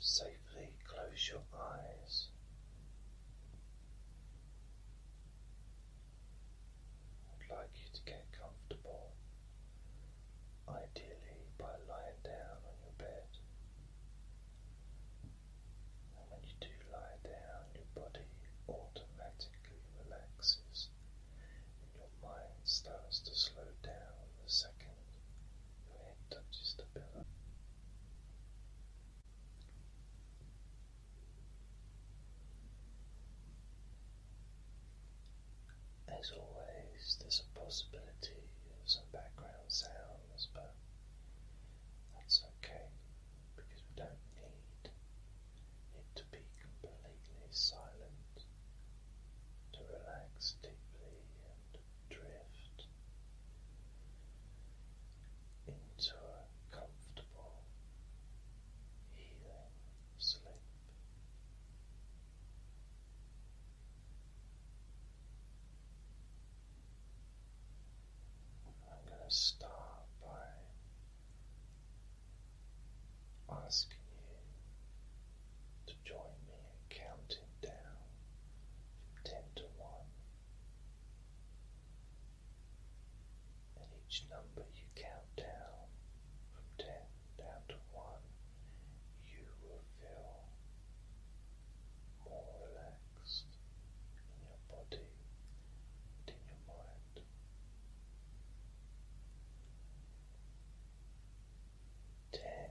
safely close your eyes. I'd like you to get comfortable, ideally by lying down on your bed. And when you do lie down, your body automatically relaxes and your mind starts to slow down the second touches As always, there's a possibility of some background sounds, but that's okay because we don't need it to be completely silent to relax deeply drift into a comfortable, healing sleep. I'm going to start by asking you to join me in counting down from ten to one. And each number you count down from ten down to one, you will feel more relaxed in your body and in your mind. Ten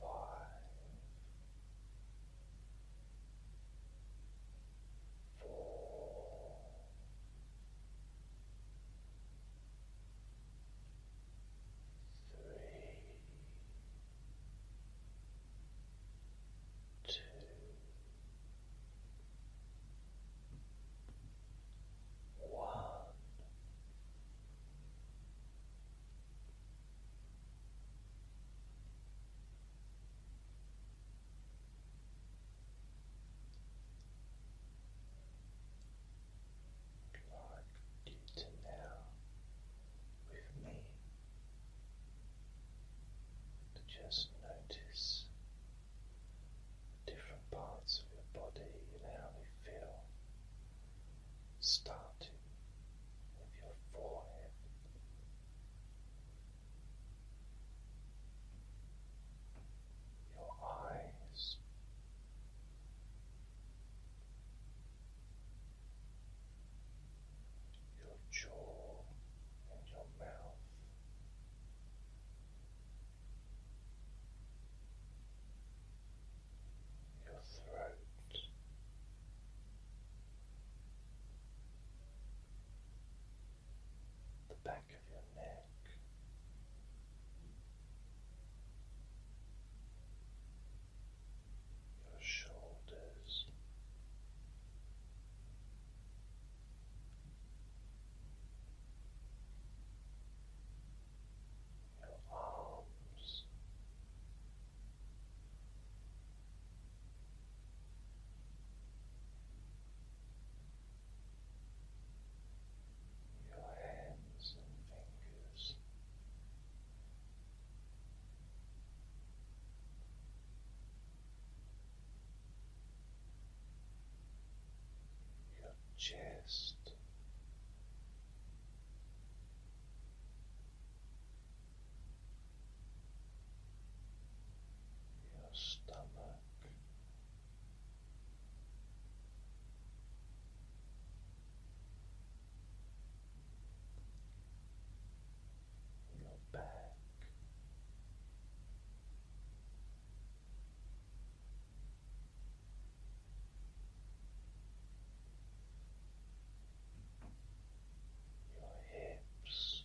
five, four, three, two like you to now with me to just notice different parts of your body and how they feel starting with your forehead. Your eyes, your jaw, and your mouth, your throat. The back of your neck, your shoulders, your arms. Your hands and fingers, your chest, your stomach. Your back, your hips.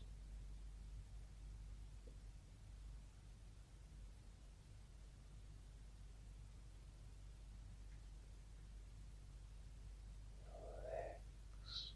Your legs.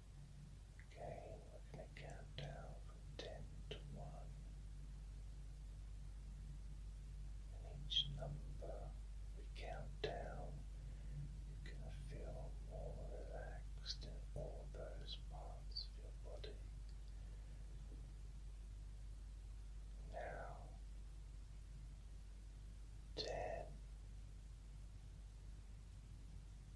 Okay, we're going to count down from ten to one, and each number we count down, you're going to feel more relaxed in all those parts of your body. Now, ten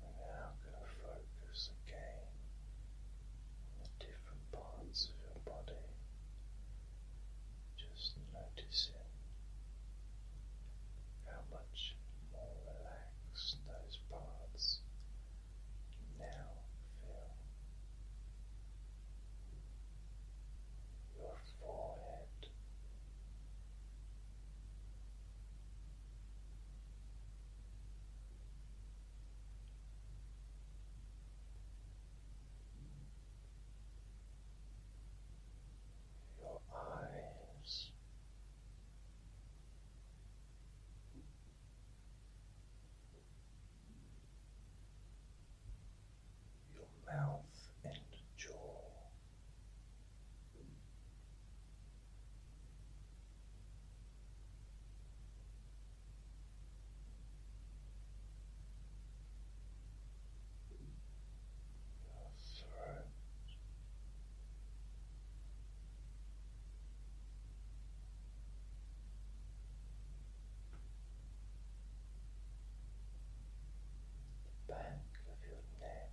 now going to focus again on the different parts of your body, just noticing how much more relaxed those parts now feel. Your forehead, your eyes your mouth and jaw. Your throat. The back of your neck,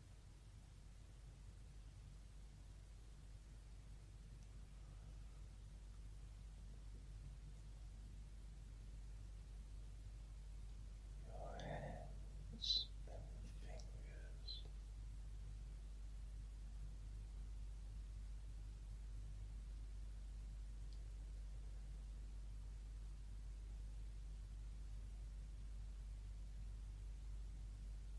Your hands and fingers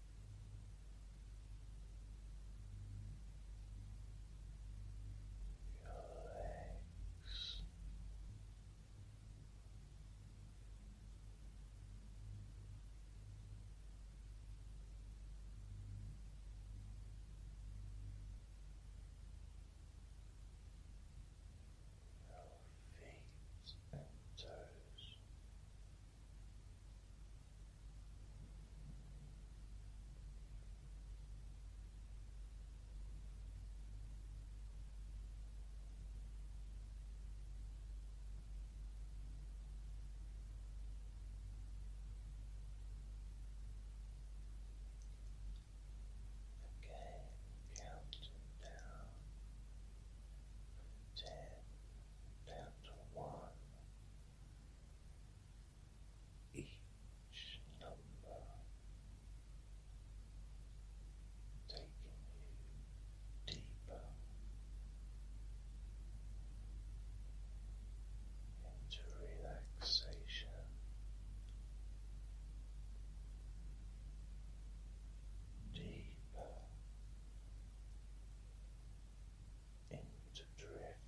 legs. Your feet and toes, Okay, counting down ten down to one each number taking you deeper into relaxation. Deeper into drift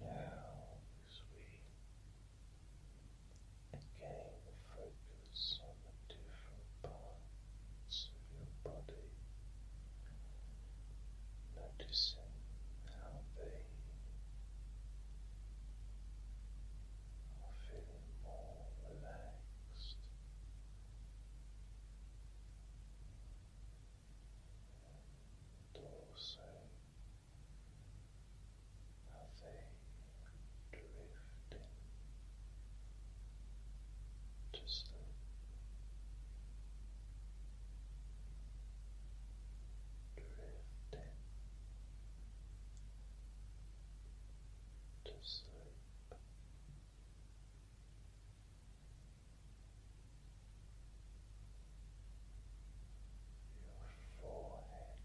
Now, as we again focus focus on the different parts of your body, noticing how they are feeling more relaxed. And also drifting to sleep. Drifting to sleep. Your forehead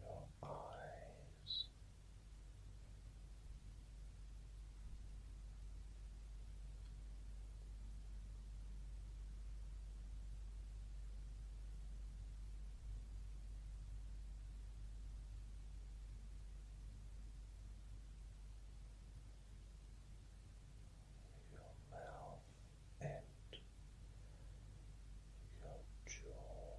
your eyes your mouth and your jaw.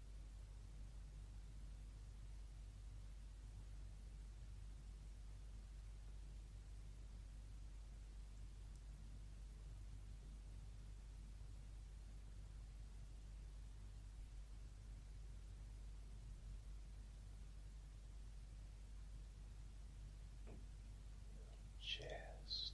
chest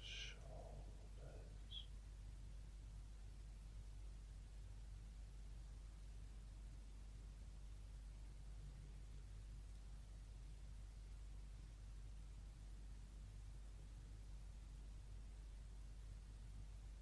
shoulders.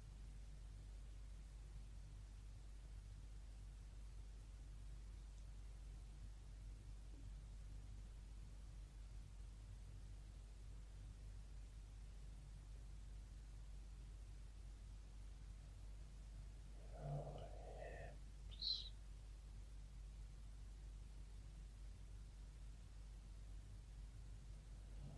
hips. Your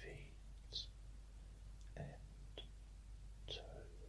feet and toes.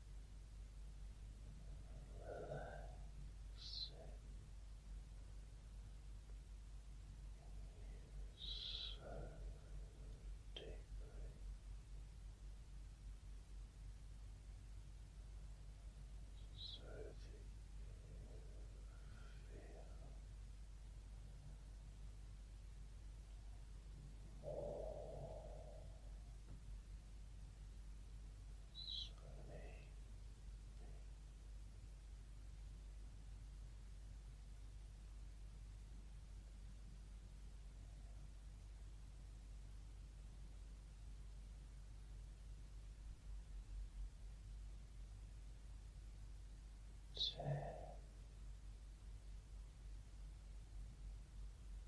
so deeply. So that you feel more Spooning. Ten.